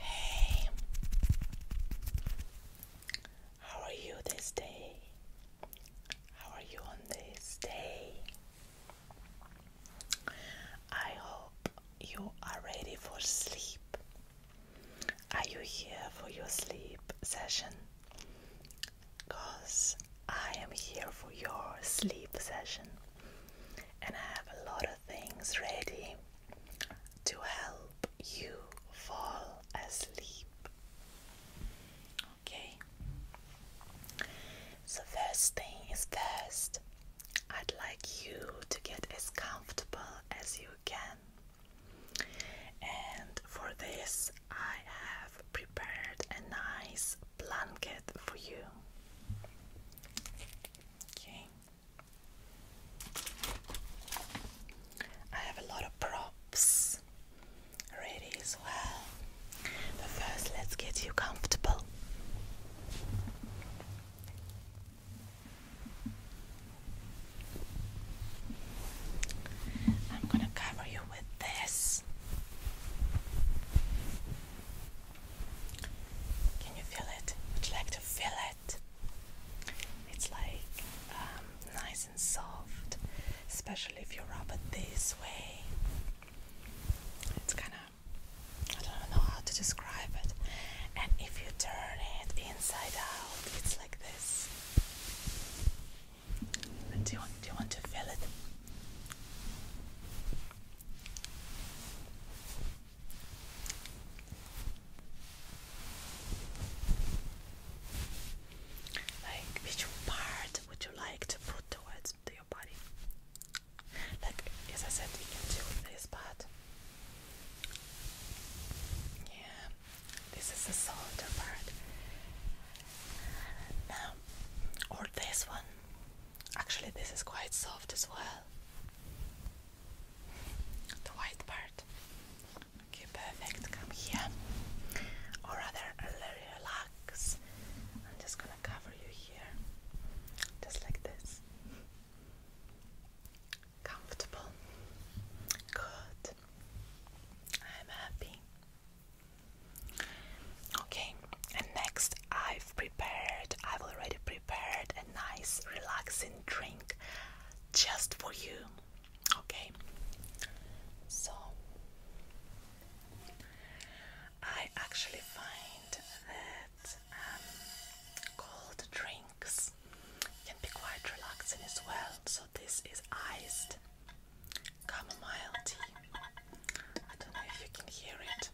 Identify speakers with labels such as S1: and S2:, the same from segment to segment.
S1: Hey, how are you this day? How are you on this day? I hope you are ready for sleep. Are you here for your sleep session? Because I am here for your sleep session and I have a lot of things ready to help you fall asleep. Okay, so first thing is first, I'd like you to get as comfortable as you can, and for this, I have prepared a nice blanket for you. Okay. I have a lot of props ready as well. But first, let's get you comfortable. I'm going to cover you with this. Can you feel it? Would you like to feel it? It's like um, nice and soft, especially if you rub it this way. It's kind of, I don't know how to describe it. And if you turn it inside out, it's like this. Do you, want, do you want to feel it? Like which part would you like to put towards to your body? Like as I said, we can do this part. Yeah, this is the shoulder part. Now, or this one. Actually, this is quite soft as well. The white part. Okay, perfect. Come here. Or rather, relax. I'm just gonna cover you here. Just like this. Comfortable. Good. I'm happy. Okay, and next I've prepared, I've already prepared a nice relaxing drink just for you. Okay, so I actually find that um, cold drinks can be quite relaxing as well. So, this is iced chamomile tea. I don't know if you can hear it.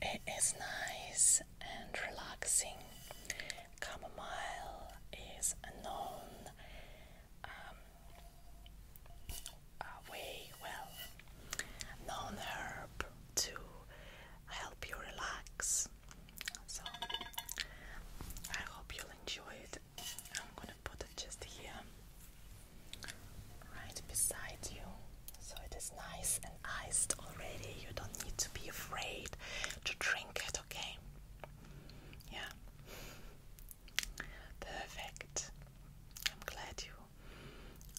S1: It is nice and relaxing. Chamomile is a known um, way, well, known herb to help you relax. So I hope you'll enjoy it. I'm gonna put it just here right beside you. So it is nice and iced already. You don't need to be afraid to drink it, okay? Yeah. Perfect. I'm glad you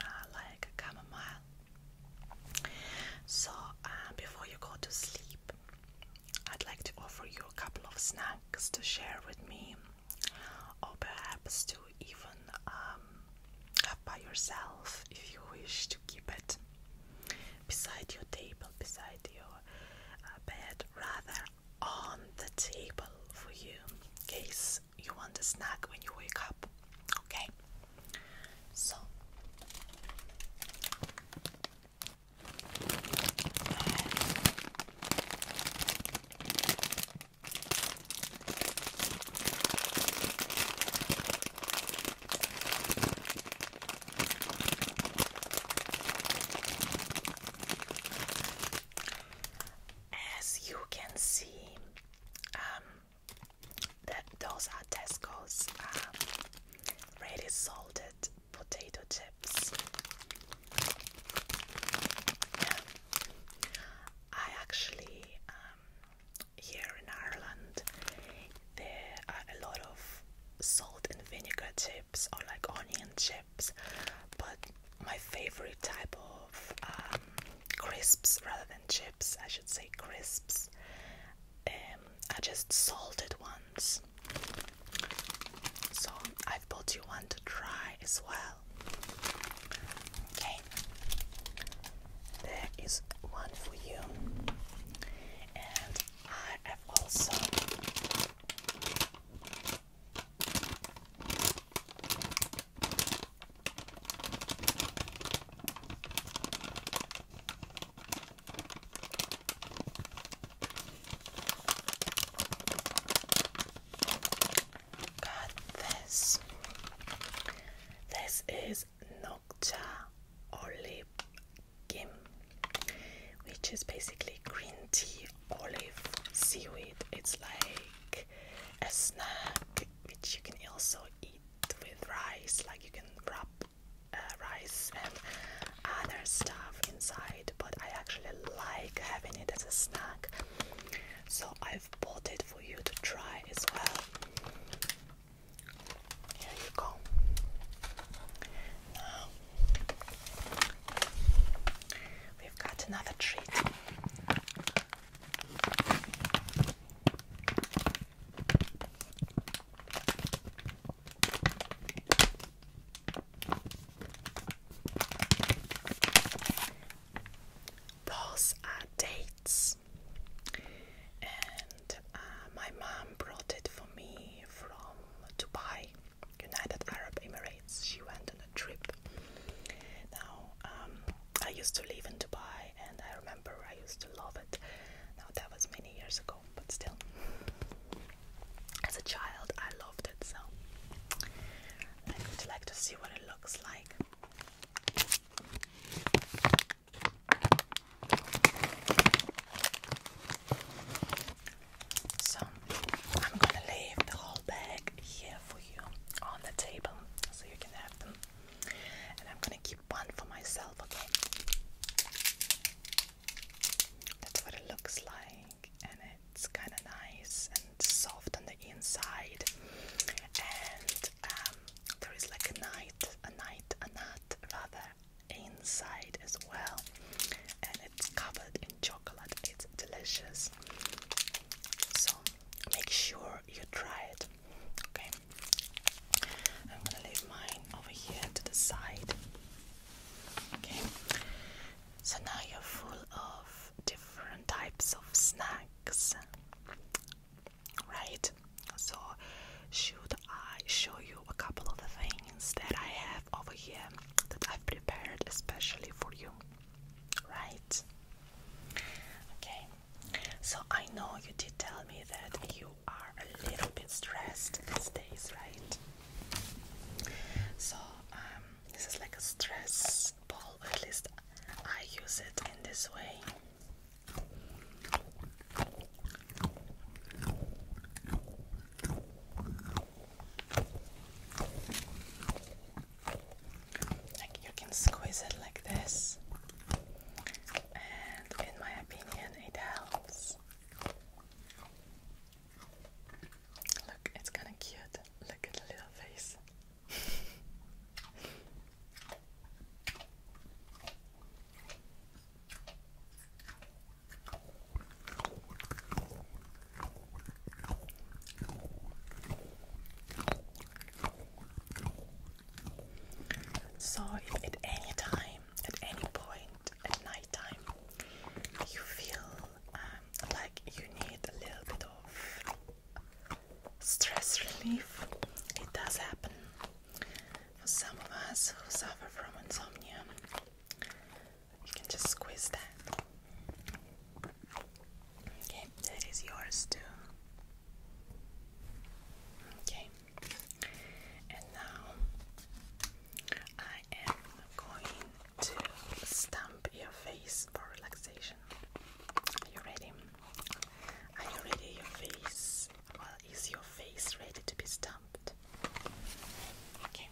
S1: uh, like chamomile. So, uh, before you go to sleep, I'd like to offer you a couple of snacks to share with me or perhaps to even um, have by yourself if you wish to keep it beside your table, beside your uh, bed, rather on the table for you in case you want a snack when you wake up. Okay, so. As you can see, um, those are Tesco's um, ready salted potato chips. I actually, um, here in Ireland, there are a lot of salt and vinegar chips or like onion chips, but my favorite type of um, crisps rather than chips, I should say crisps, um, are just salted ones. So I've bought you one to try as well well. Okay, there is one for you, and I have also Got this. This is Nokcha olive gim, which is basically green tea olive seaweed. It's like a snack which you can also eat with rice, like you can wrap uh, rice and other stuff inside. But I actually like having it as a snack so I've bought it for you to try as well. Here you go. we've got another treat those are dates. And uh, my mom brought it for me from Dubai, United Arab Emirates. She went on a trip. Now, um, I used to live in Dubai and I remember I used to love it. Now, that was many years ago, but still. As a child, I loved it so. I would like to see what it looks like. So I'm gonna leave the whole bag here for you on the table so you can have them. And I'm gonna keep one for myself, That's what it looks like, and it's kind of nice and soft on the inside. And um, there is like a night, a night, a nut rather inside as well. And it's covered in chocolate. It's delicious. So make sure you try it. Okay. I'm gonna leave mine over here to the side. Okay. So now you're full of different types of snacks, right? So, should I show you a couple of the things that I have over here that I've prepared especially for you, right? Okay, so I know you did tell me that you are a little bit stressed these days, right? So, um, this is like a stress ball, at least I use it in this way. you can squeeze it like this, and in my opinion, it helps. Look, it's kind of cute. Look at the little face. So, if at any time, at any point at night time, you feel um, like you need a little bit of stress relief. It does happen for some of us who suffer from insomnia. You can just squeeze that. Okay, that is yours too. Okay, and now I am going to stamp your face for relaxation. Are you ready? Are you ready? Your face. Well, is your face ready to be stamped? Okay.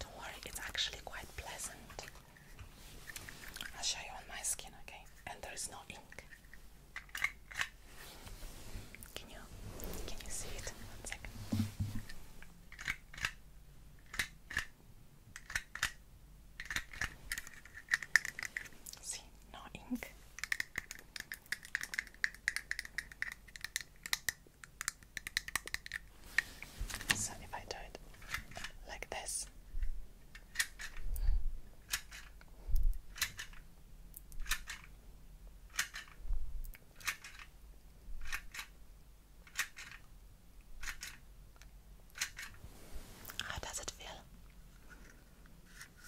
S1: Don't worry, it's actually quite pleasant I'll show you on my skin, okay? And there is no ink. Can you can you see it? One second. See, no ink. So if I do it like this, how does it feel?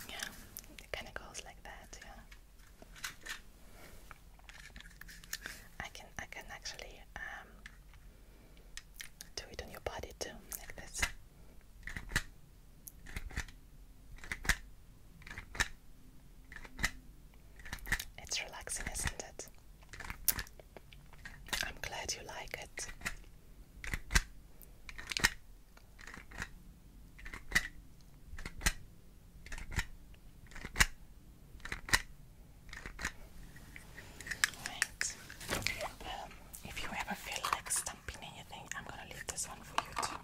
S1: Yeah, it kind of goes like that. Yeah, I can I can actually um, do it on your body too, like this. It's relaxing, isn't it? I'm glad you like it. Um, if you ever feel like stumping anything, I'm gonna leave this one for you too.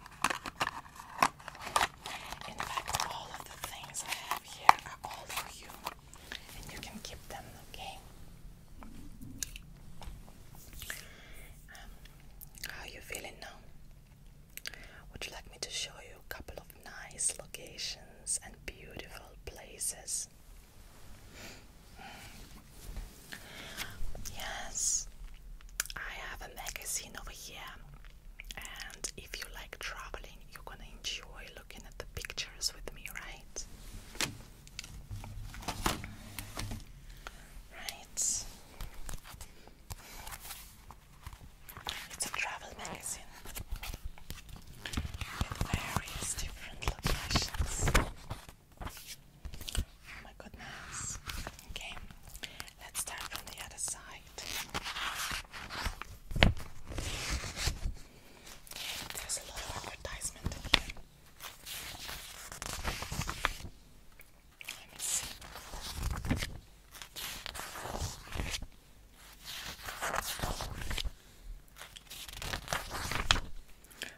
S1: In fact, all of the things I have here are all for you, and you can keep them, okay? Um, how are you feeling now? Would you like me to show you a couple of nice locations and beautiful places? Yes, I have a magazine over here, and if you like traveling, you're gonna enjoy looking at the pictures with me, right? Right. It's a travel magazine various different locations. Oh my goodness. Okay, let's start from the other side. There's a lot of advertisement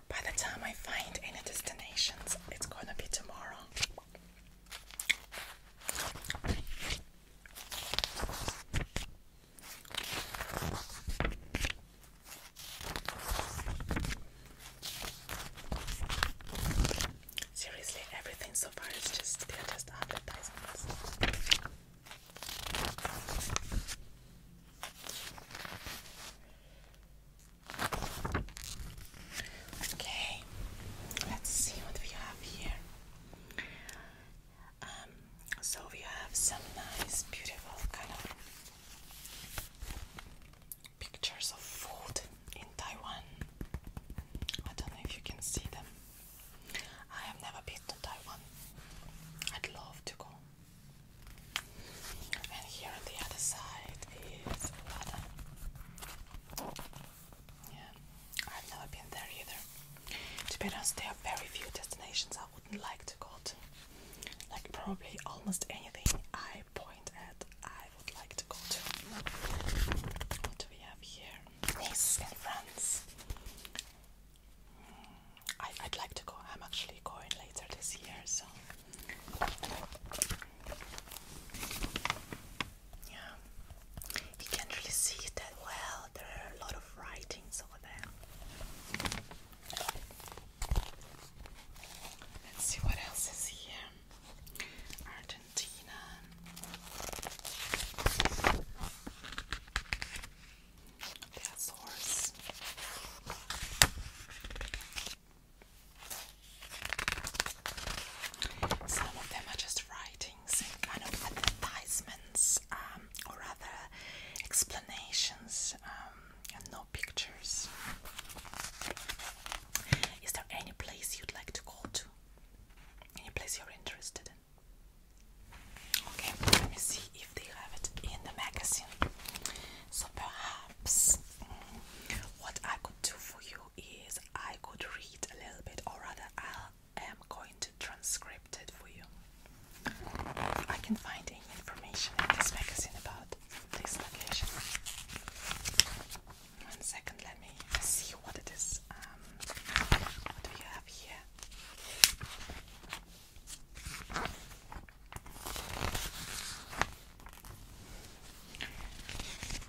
S1: by the time I find any destinations, it's gonna be tomorrow. Seriously, everything so far is just they're just advertisements. Okay, let's see what we have here. Um, so we have some nice, beautiful kind of pictures of food in Taiwan. I don't know if you can see them. I have never been to Taiwan. I'd love to go. And here on the other side is Lada. Yeah, I've never been there either. To be honest, there are very few destinations I wouldn't like to go to. Like probably almost anything I point at, I would like to go to. What do we have here? Nice in France. I, would like to go. I'm actually going later this year, so yeah. You can't really see it that well. There are a lot of writings over there. Let's see what else is here. Argentina. Some of them are just writings kind of advertisements, um, or rather explanations, um, and no pictures. Is there any place you'd like to go to? Any place you're interested in? Okay, let me see if they have it in the magazine. So perhaps mm, what I could do for you is I could read a little bit, or rather, I am going to transcribe it for you. I can find any information in this magazine about this location. One second, let me see what it is. Um, what do you have here? Goodness.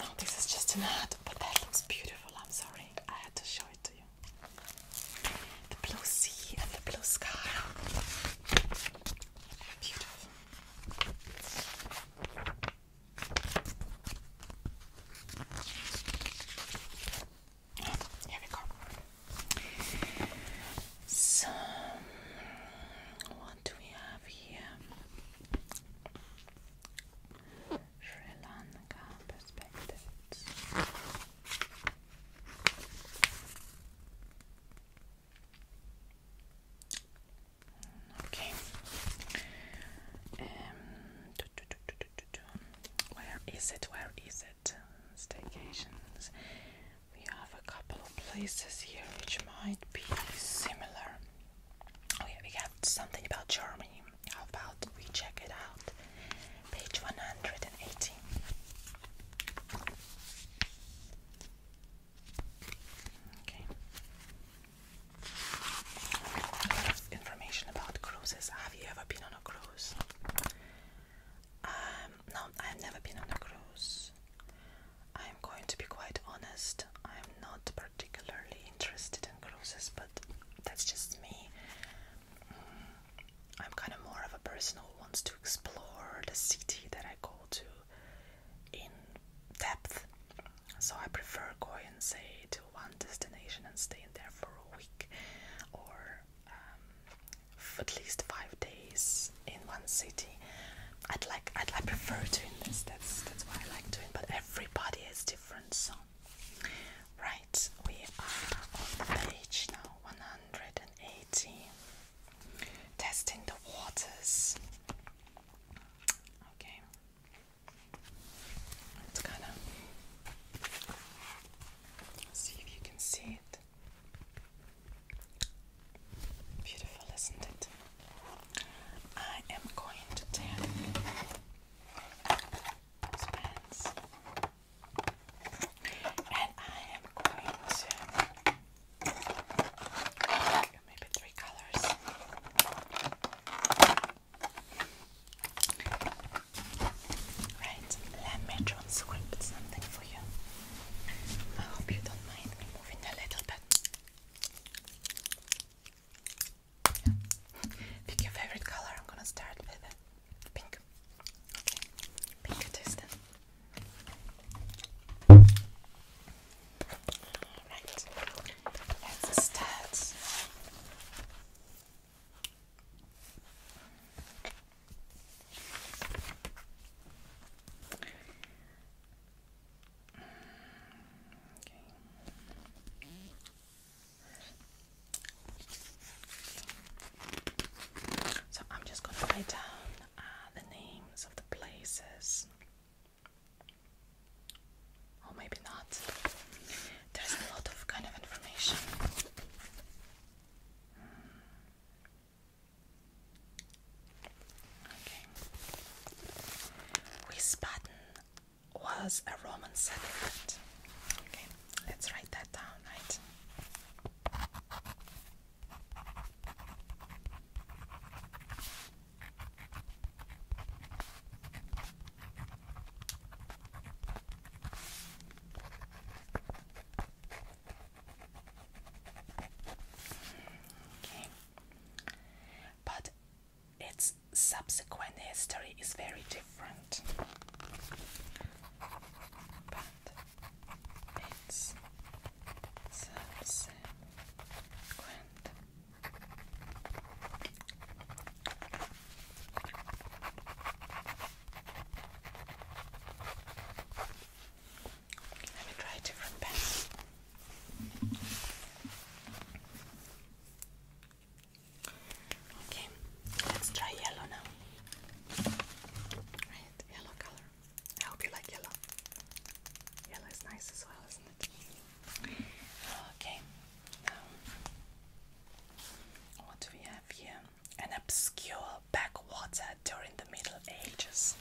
S1: Oh, this is just an ad, but that looks beautiful. I'm sorry, I had to show it to you the blue sea and the blue sky. Beautiful. Here we go. So, what do we have here? Sri Lanka perspectives. Okay. Um, Where is it? Where is it? Staycations. We have a couple of places here which might be similar. Oh we got something about Germany. How about we check it out? Page one hundred and eighteen. Okay. Information about cruises. Have you ever been on a cruise? Um, no, I've never been on a cruise. I'm going to be quite honest, I'm not particularly interested in cruises, but that's just me. Mm, I'm kind of more of a person who wants to explore the city that I go to in depth. So I prefer going, say, to one destination and staying there for a week or um, at least five days in one city. I'd like, I'd, I prefer doing this. That's that's what I like doing. But everybody is different, so. Right we are on the page now 180. Testing the waters. Okay. It's gonna see if you can see it. Beautiful, isn't it? I am going to tell those pens. And I am going to maybe three colors. Right, let me try something for you. I hope you don't mind me moving a little bit. Pick your favorite color. I'm gonna start with pink. Pink it is Alright. Let's start. So I'm just going to write down uh, the names of the places. Or maybe not. There's a lot of kind of information. Hmm. Okay. Wiesbaden was a Roman settlement. Okay, let's write that down, right? Okay. But its subsequent history is very different. let me try a different pen. Okay, let's try yellow now. Right, yellow color. I hope you like yellow. Yellow is nice as well, isn't it? Okay, now what do we have here? An obscure backwater during the Middle Ages.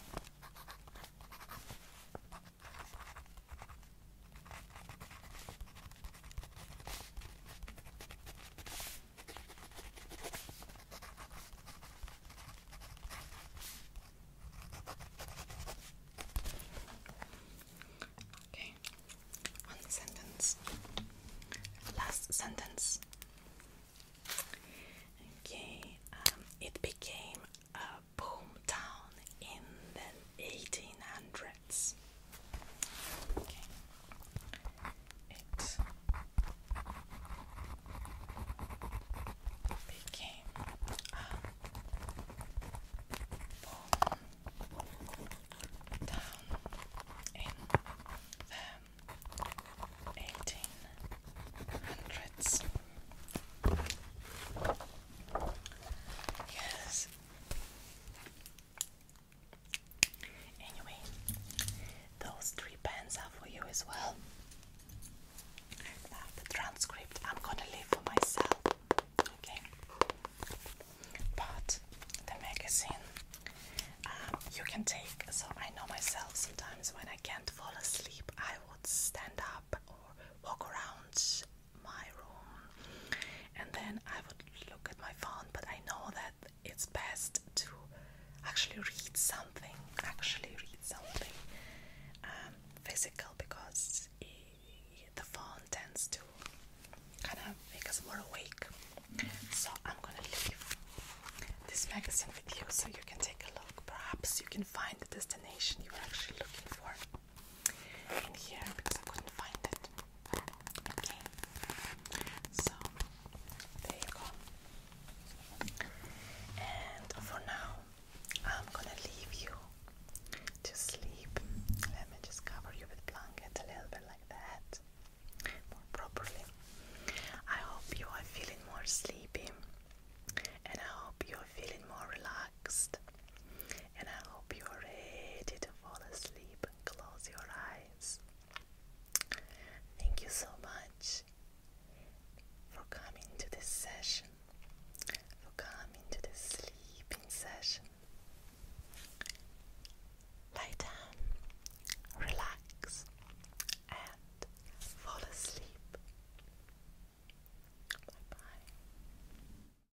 S1: Okay, one sentence, last sentence. Okay, um, it became a boom town in the 1800s. It became a down in the eighteen hundreds. Yes, Anyway, those three pens are for you as well. the transcript I'm gonna leave for myself, okay? But the magazine um, you can take. So, I know myself sometimes when I can't fall asleep, I would stand up or walk around my room and then I would look at my phone but I know that it's best to actually read something actually read something um, physical because the phone tends to kind of make us more awake so I'm gonna leave this magazine with you so you can take a look perhaps you can find the destination you were actually looking for in here because I couldn't find it. so there you go. And for now, I'm gonna leave you to sleep. Let me just cover you with blanket a little bit like that, more properly. I hope you are feeling more sleepy, and I hope you are feeling more relaxed and I hope you're ready to fall asleep and close your eyes. Thank you so much for coming to this session, for coming to this sleeping session. Lie down, relax, and fall asleep. Bye bye.